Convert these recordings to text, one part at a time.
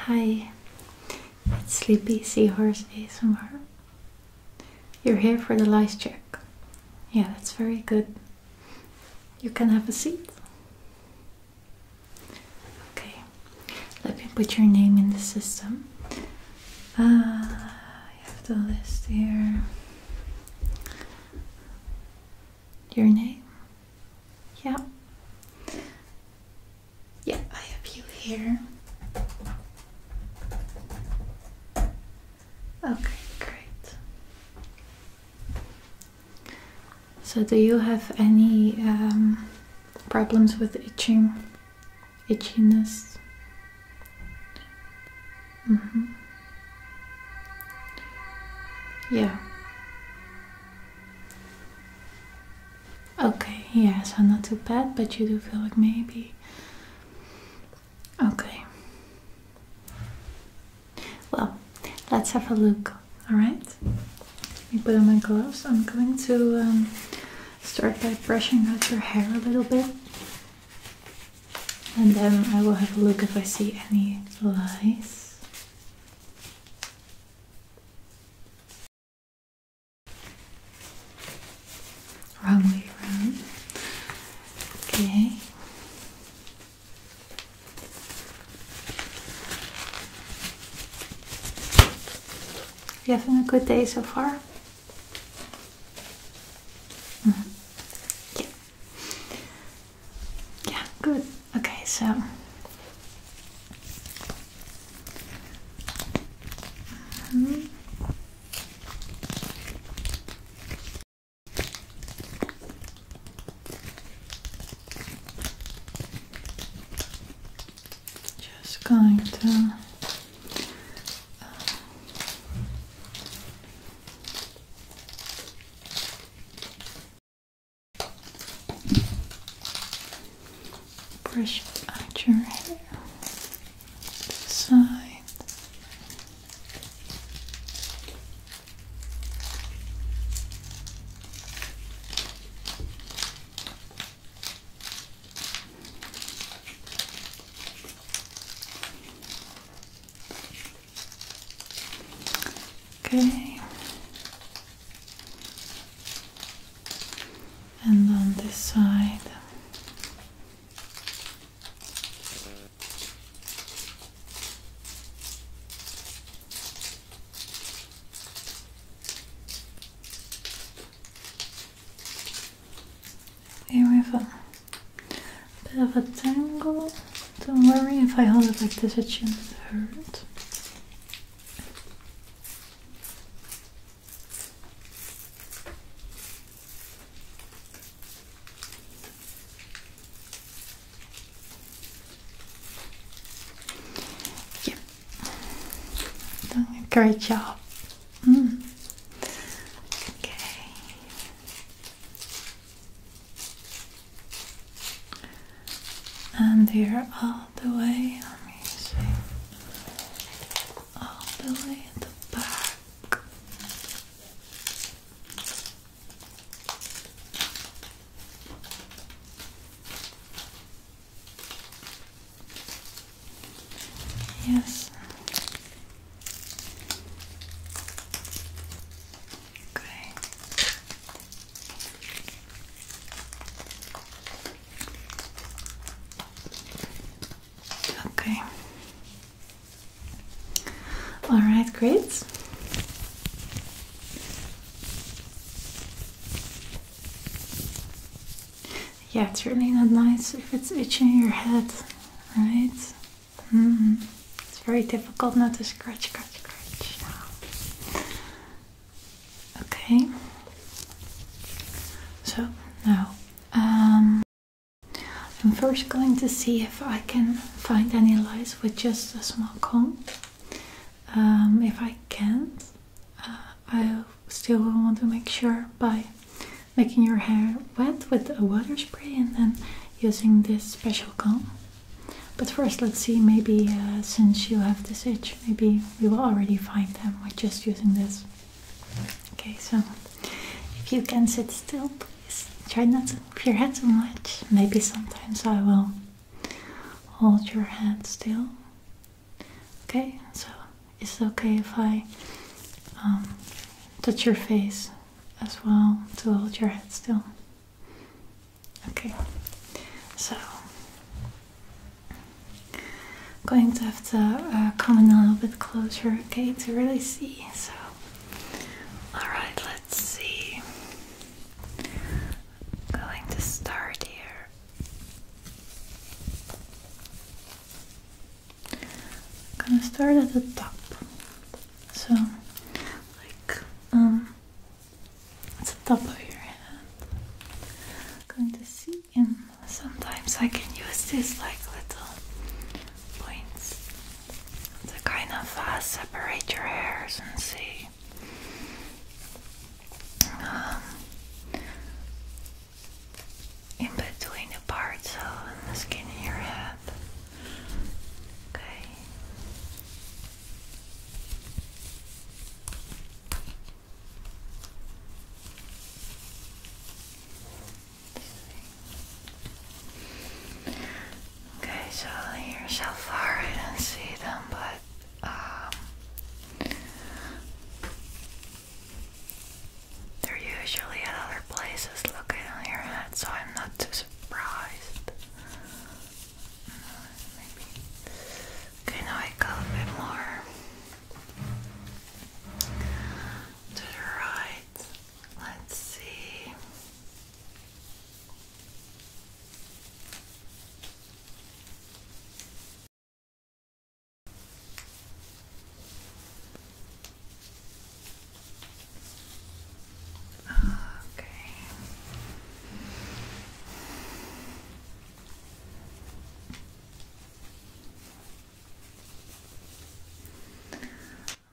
Hi, it's Sleepy Seahorse ASMR. You're here for the lice check. Yeah, that's very good. You can have a seat. Okay, let me put your name in the system. Uh, I have the list here. Your name? Yeah. Yeah, I have you here. Okay, great. So, do you have any um, problems with itching, itchiness? Mm -hmm. Yeah. Okay, yeah, so not too bad, but you do feel like maybe. Okay. Well, let's have a look, alright? Let me put on my gloves. I'm going to um, start by brushing out your hair a little bit. And then I will have a look if I see any lice. Wrong way around. Okay. You having a good day so far? Mm-hmm. Yeah, yeah, good. Okay, so mm-hmm. Just going to uh, Brush out your hair. Side. Okay. And on this side. Here we have Bit of a tangle. Don't worry if I hold it like this, it shouldn't hurt. Yeah. great job. Mm. Okay. And here all the way, let me see, all the way at the back. Yes, Okay. Okay. All right, great. Yeah, it's really not nice if it's itching your head, right? Mm-hmm. It's very difficult not to scratch, scratch, scratch. Okay. So now um, I'm first going to see if I can find any lies with just a small comb. Um, if I can't, uh, I still want to make sure by making your hair wet with a water spray and then using this special comb. But first, let's see. Maybe uh, since you have this itch, maybe we will already find them with just using this. Okay, so if you can sit still, please try not to move your head too much. Maybe sometimes I will hold your head still. Okay, so is it okay if I um, touch your face as well to hold your head still. Okay, so going to have to uh, come in a little bit closer, okay, to really see. So, all right, let's see. going to start here. I'm gonna start at the top. So, like, um, it's the top of your head. I'm going to see, and sometimes I can use these like little points to kind of uh, separate your hairs and see. Um, in between the parts of the skin in your head, Okay. Okay, so here so far I didn't see them, but um, they're usually at other places looking on your head, so I'm not too surprised. Maybe. Okay, I go a bit more to the right. Let's see. Okay.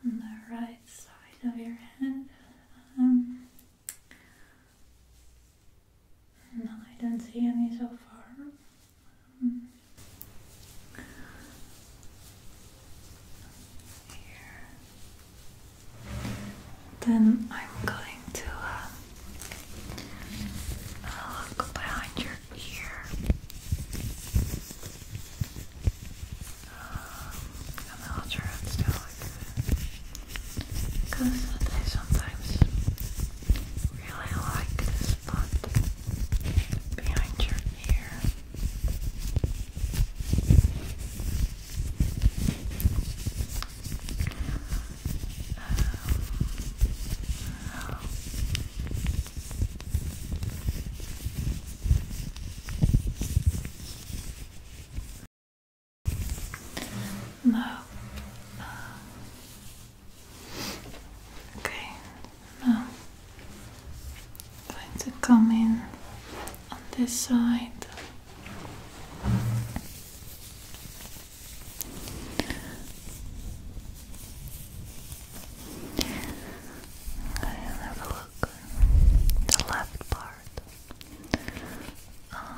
On the right side of your head. Um, no, I don't see any so far. Then I'm going to uh, look behind your ear. Um, and I'll try it still I sometimes really like this spot behind your here. Um, no, Okay, now I'm going to come in on this side. And have a look the left part. Um,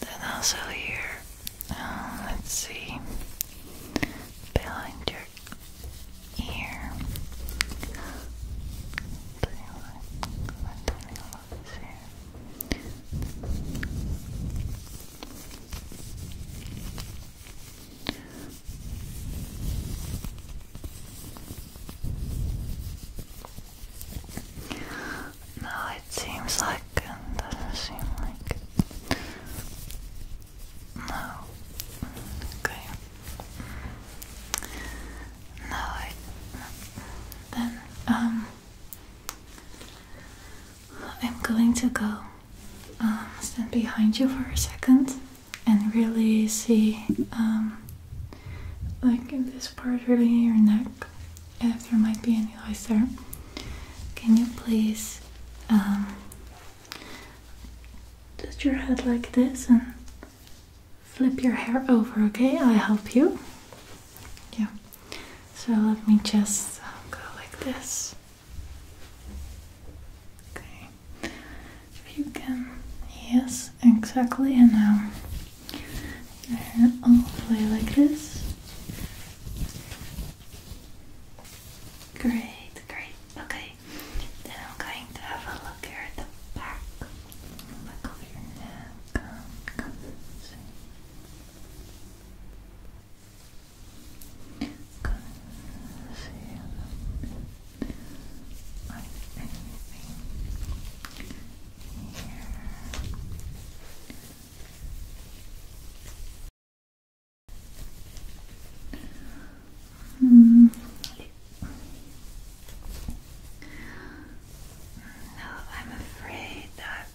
Then also here, uh, let's see, behind your ear. No, it seems like doesn't seem like No. Okay. No, I then um I'm going to go um, stand behind you for a second and really see um, like in this part really in your neck if there might be any lice there can you please um, your head like this and flip your hair over okay I'll help you yeah so let me just go like this okay if you can, yes, exactly. And now your hair all the like this. Great, great. Okay, then I'm going to have a look at the back, back your neck. Come, see. Good. See on anything here. Hmm. No, I'm afraid that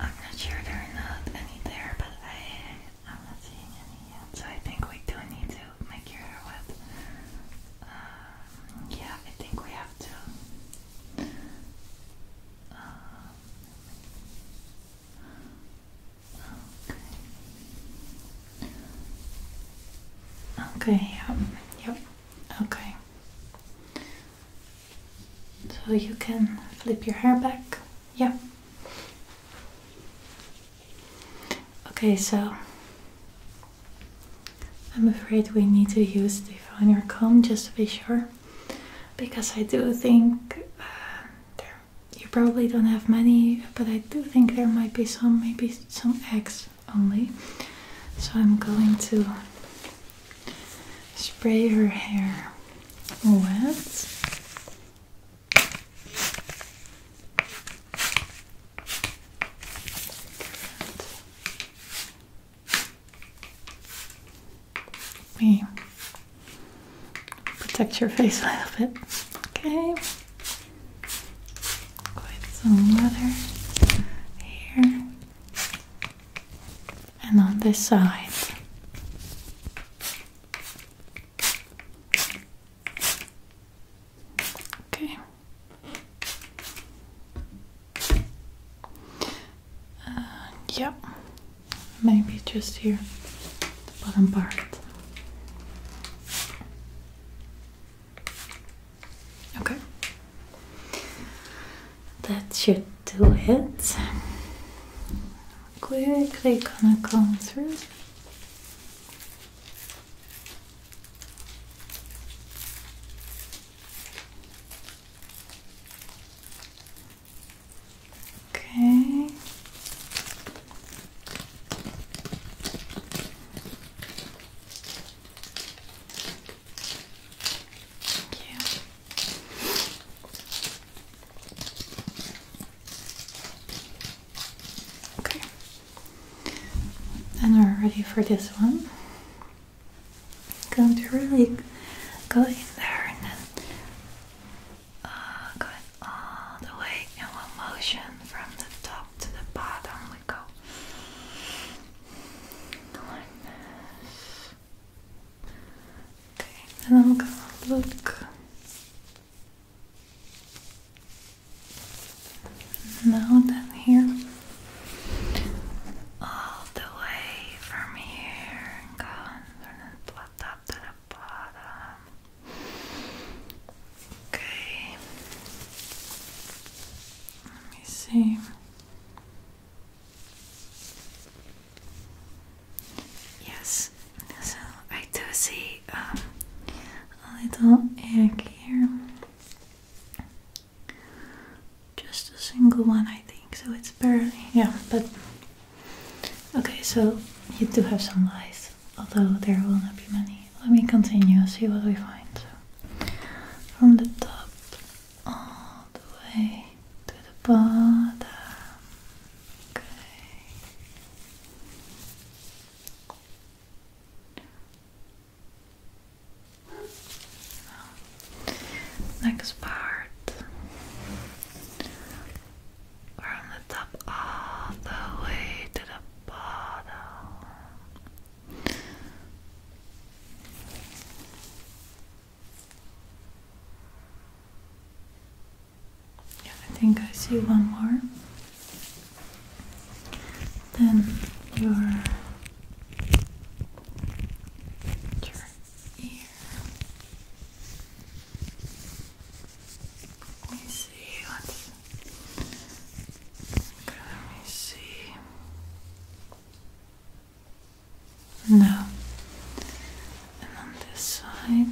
I'm not sure there are not any there, but I I'm not seeing any so I think we do need to make your hair wet. Um, yeah, I think we have to. Um, okay. Okay. Um, yep. Okay. So you can flip your hair back. Yeah. Okay, so I'm afraid we need to use the finer comb just to be sure, because I do think uh, there, you probably don't have many, but I do think there might be some, maybe some eggs only. So I'm going to spray her hair wet we protect your face a little bit. Okay. Quite some leather here. And on this side. Okay. Uh, yeah, maybe just here, the bottom part. Okay, that should do it quickly gonna comb through. Okay. Yeah. Okay. And we're ready for this one. Going to really go in there and then uh, all the way in one motion from the top to the bottom. We go Okay, and I'm gonna look now down here, all the way from here, and go and plot up to the bottom. Okay, let me see. Yes, so I do see um, a little egg here. Just a single one, I think, so it's barely. Yeah, but. Okay, so you do have some lies, although there will not be many. Let me continue, see what we find. from the top all the way to the bottom. Okay. next part from the top all the way to the bottom. Yeah, I think I see one more. Then your ear. Let me see let me see. No. and on this side,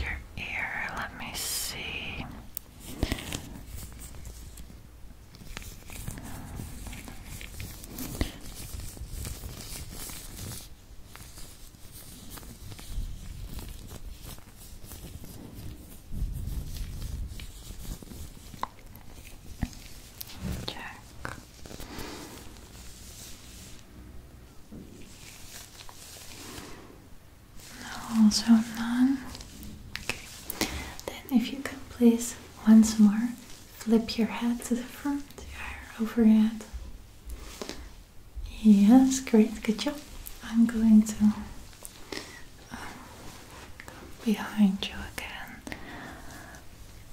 your ear, let me see. Check. Also none. Okay. Then, if you can please once more flip your head to the front, your over your head. Yes, great, good job. I'm going to um, go behind you again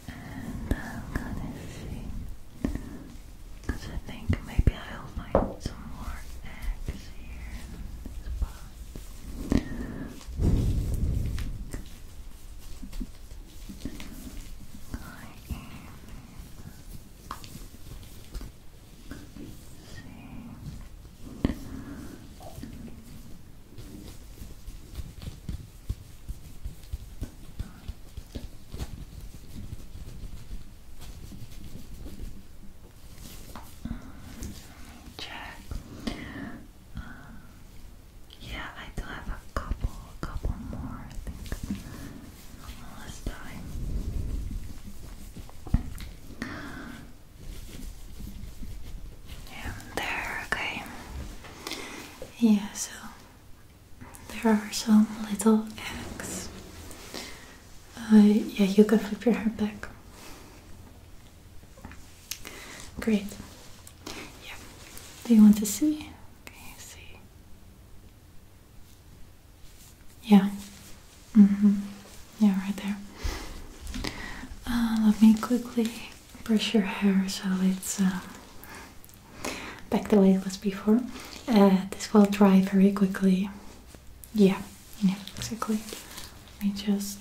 and I'm gonna see I think maybe I'll find some more eggs here in this See. Um, let check. Uh, yeah, I do have a couple, a couple more. I last time. Yeah, there, okay. Yeah, so there are some little eggs. Uh, yeah, you can flip your hair back. Great. Yeah. Do you want to see? Okay, see. Yeah. Mm-hmm. Yeah, right there. Uh, let me quickly brush your hair so it's uh, back the way it was before. Uh, this will dry very quickly. Yeah, yeah, exactly. Let just.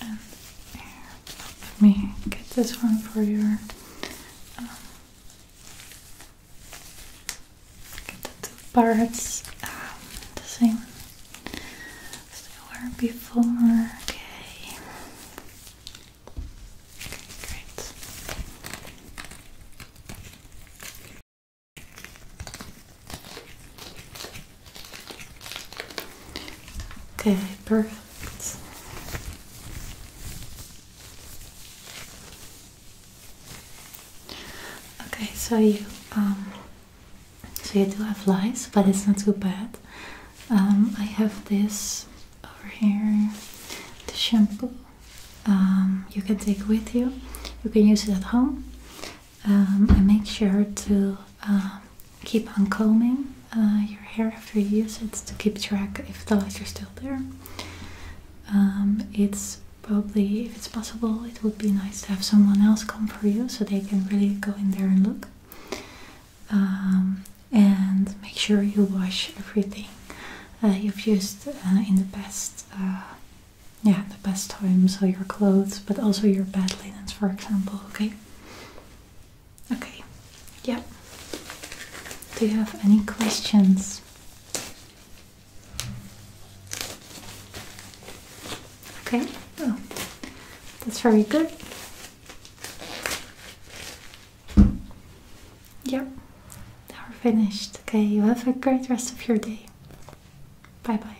And here, me get this one for you. Um, get the two parts um, the same as they were before. Okay. Okay, great. Okay, perfect. Okay, so you um, so you do have flies, but it's not too bad. Um, I have this over here, the shampoo. Um, you can take with you. You can use it at home um, make sure to um, keep on combing uh, your hair after you use it to keep track if the lights are still there. Um, it's probably, if it's possible, it would be nice to have someone else come for you so they can really go in there and look. Um, and make sure you wash everything uh, you've used uh, in the past. yeah, the best times so your clothes, but also your bed linens, for example, okay? Okay. Yep. Do you have any questions? Okay. Oh, that's very good. Yep. Now we're finished. Okay, you have a great rest of your day. Bye bye.